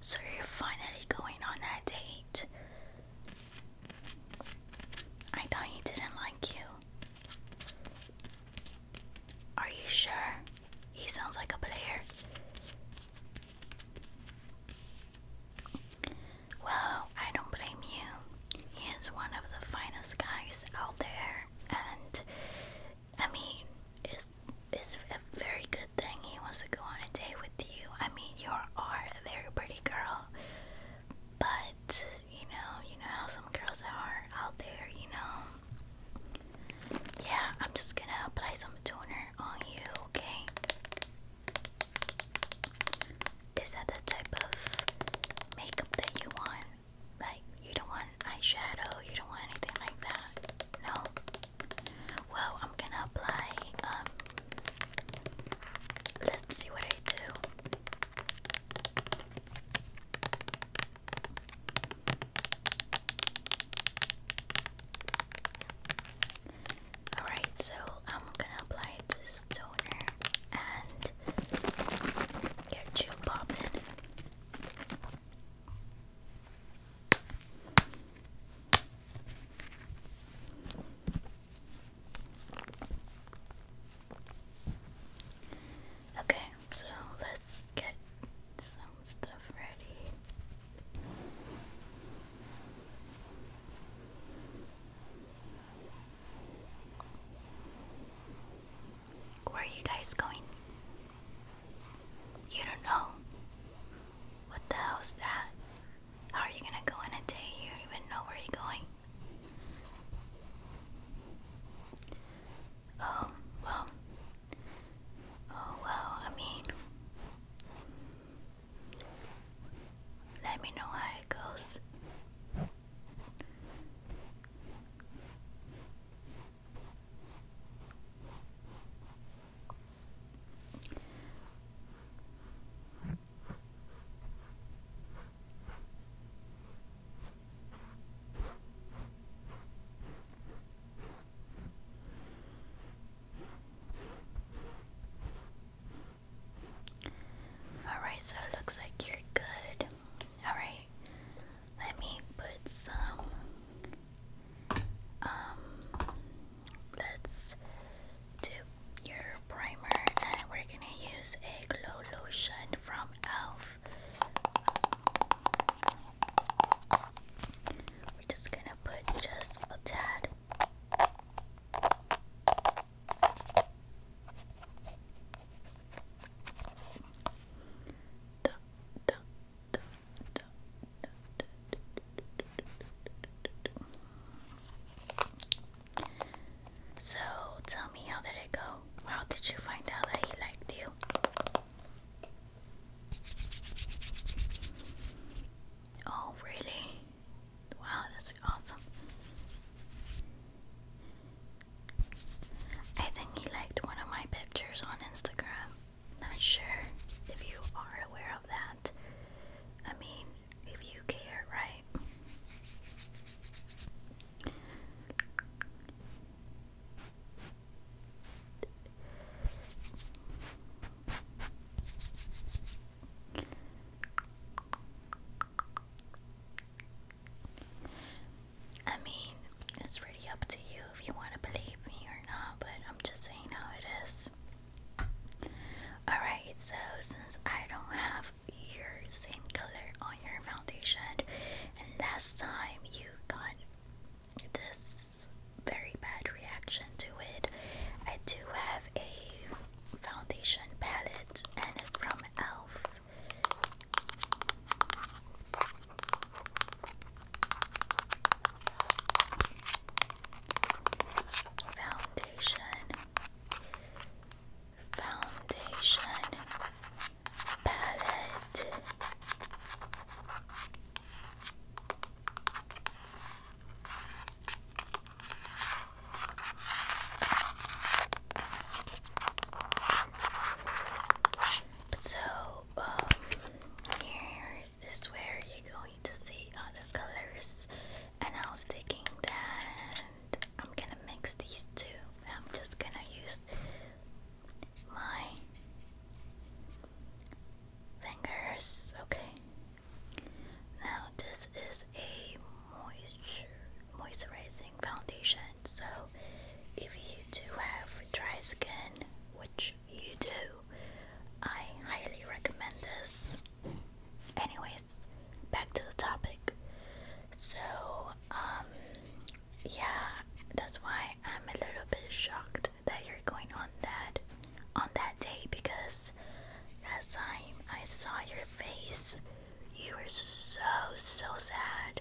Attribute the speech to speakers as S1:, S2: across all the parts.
S1: So you're finally going on that date. I thought he didn't like you. Are you sure? He sounds like a player. Well, I don't blame you. He is one of the finest guys out there, and I mean, it's it's a very good thing he wants to go on a date with you. I mean, you are a very pretty girl, but you know, you know how some girls are out there. You know. Yeah, I'm just gonna apply some toner on you. Okay. Is that the type of makeup that you want? Like, you don't want eyeshadow, you don't want anything like that. No. Well, I'm gonna apply, um, let's see what I do. Alright, so I'm gonna apply this toner and get you popping. Okay, so let's get some stuff ready. Where are you guys going? You don't know. What the hell's that? How are you gonna go in a day you don't even know where you're going? Oh, well. Oh, well, I mean. Let me know how it goes. Alright, so it looks like you're good. Alright, let me put some. Um, let's do your primer, and we're gonna use a glow lotion from Elf. We're just gonna put just a tad. Duh, duh, duh, so tell me, how did it go? How did you find out that he liked you? Oh, really? Wow, that's awesome. I think he liked one of my pictures on Instagram not sure if you are aware of that. I mean, if you care, right? I mean, it's really up to you if you want to believe me or not, but I'm just saying how it is. Alright, so since I don't have your same color on your foundation, and last time you got this very bad reaction to it, I do have a foundation palette, and it's from e.l.f. Foundation, foundation, palette, so, um, here is where you're going to see other colors, and I was thinking that I'm gonna mix these two. I'm just gonna use my fingers, okay. Now, this is a moisture moisturizing foundation. So, if you do have dry skin, which you do, I highly recommend this. Anyways, back to the topic. So, um, yeah, that's why I'm a little bit shocked that you're going on that on that day because last time I saw your face, you were so so sad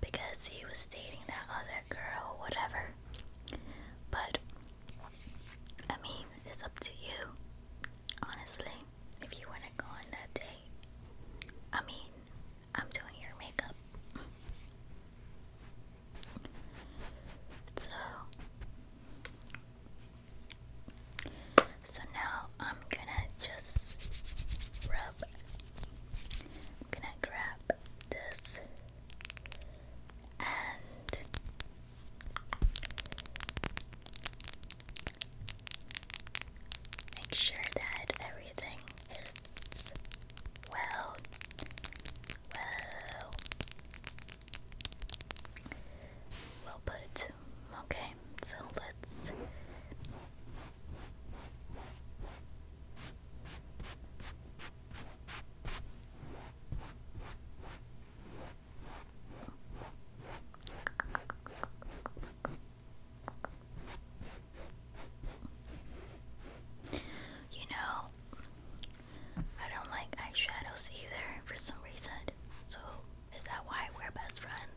S1: because he was dating that other girl, whatever. But I mean, it's up to you, honestly. If you want to go on that date, I mean, I'm doing your makeup. so, so now I'm gonna just rub I'm gonna grab this and make sure that everything is well. Well, well put. Okay, so let's you know, I don't like eyeshadows either for some reason. So, is that why we're best friends?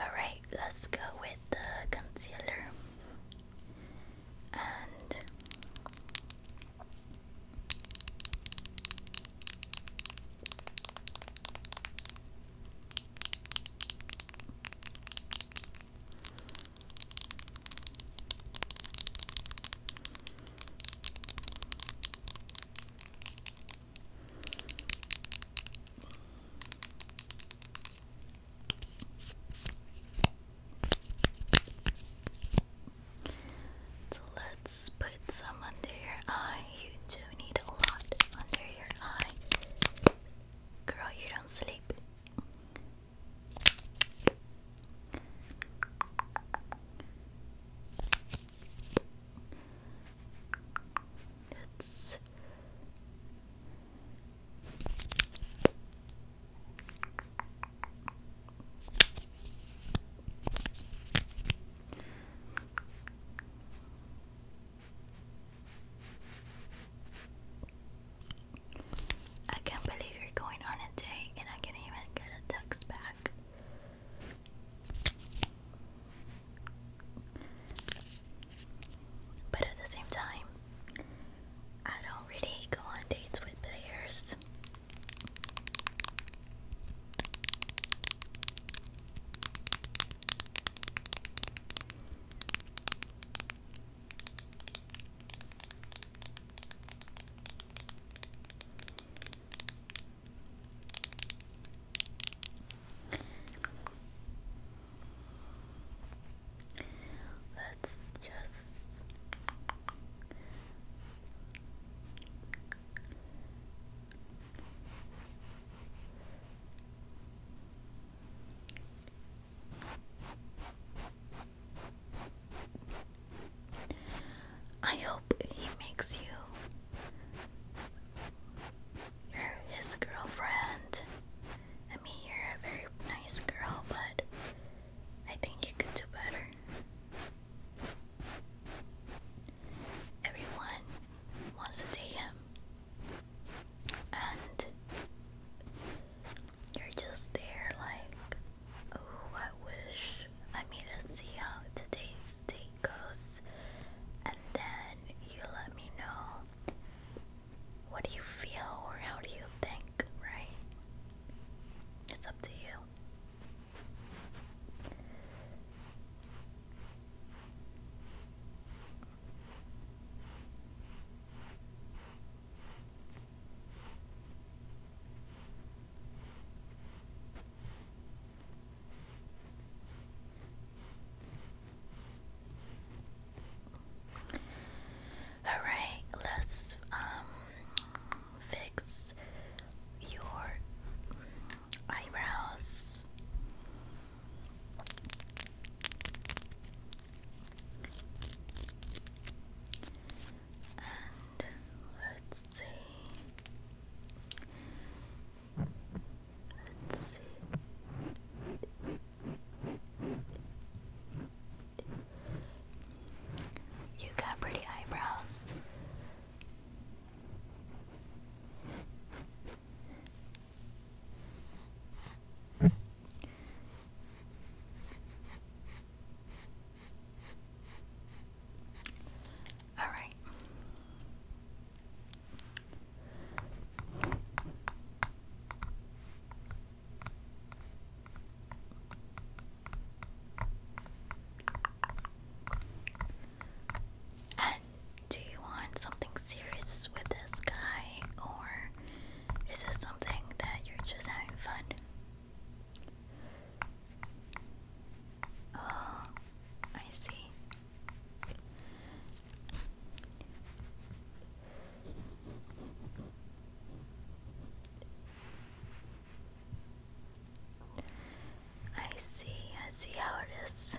S1: Alright, let's go with the concealer. And so let's put some under your eye. You do need a lot under your eye. Girl, you don't sleep. It's I can't believe you're going on a date and I can't even get a text back. But at the same time, I don't really go on dates with players. Let's just I hope he makes you you're his girlfriend. I mean, you're a very nice girl, but I think you could do better. Everyone wants to date him, and you're just there like Oh, I wish. I mean, let's see how today's day goes, and then you let me know what do you feel or how do you think, right? It's up to you. All right, let's um fix your eyebrows let's see. Let's see. You got pretty eyebrows. All right. And do you want something serious with this guy, or is this something that you're just having fun? Oh, I see. I see, I see how it is.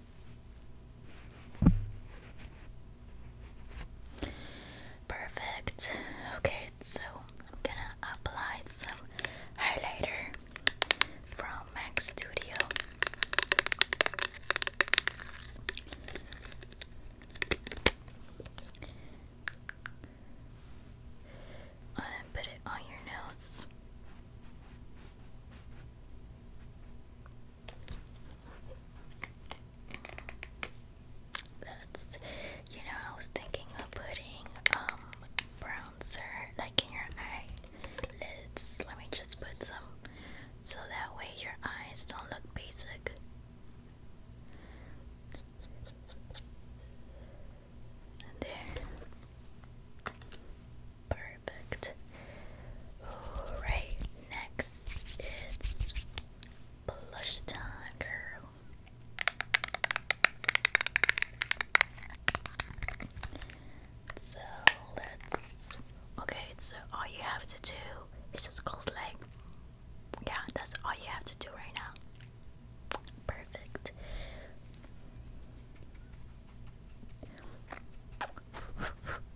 S1: Perfect. Okay, so I'm gonna apply some highlighter from MAC Studio. put it on your nose. That's you know, I was thinking of putting um bronzer like in your eye lids. Let me just put some so that way your eyes don't look basic. there. Perfect. Alright, next it's blush time, girl. So let's. Okay, so all you have to do is just close leg. Yeah, that's all you have to do right now. Perfect.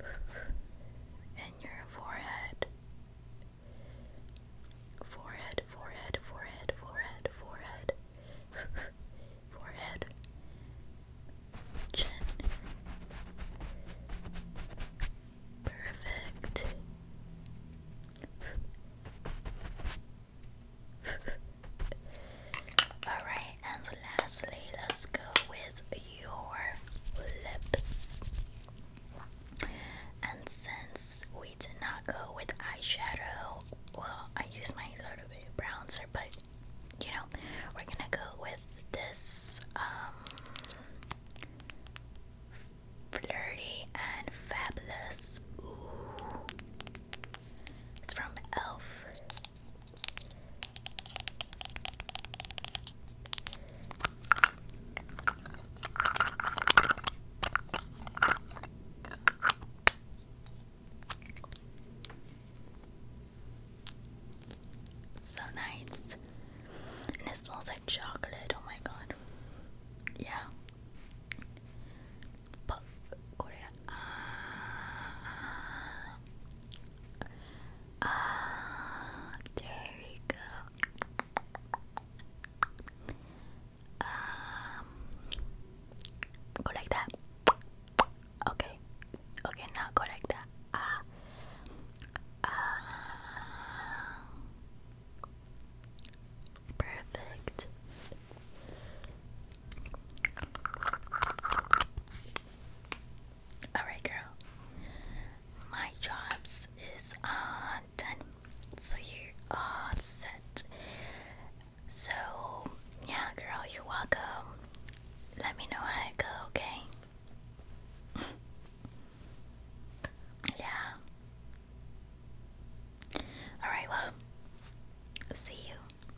S1: and your forehead. Forehead, forehead, forehead, forehead, forehead, forehead, chin. Perfect. Alright, and lastly, let's go with your lips. And since we did not go with eyeshadow, well, I use my little bit bronzer, but you know, we're gonna go with this um, flirty and fabulous. it's from Elf. So nice. And it smells like chocolate. Oh my god. Yeah. But, Ah, there we go. Um, go like that. Okay, okay, now go like that. Ah, ah, perfect. Alright, girl. My jobs is on done. So you're set. So, yeah, girl, you're welcome. Let me know how it go, okay? yeah. Alright, well, see you.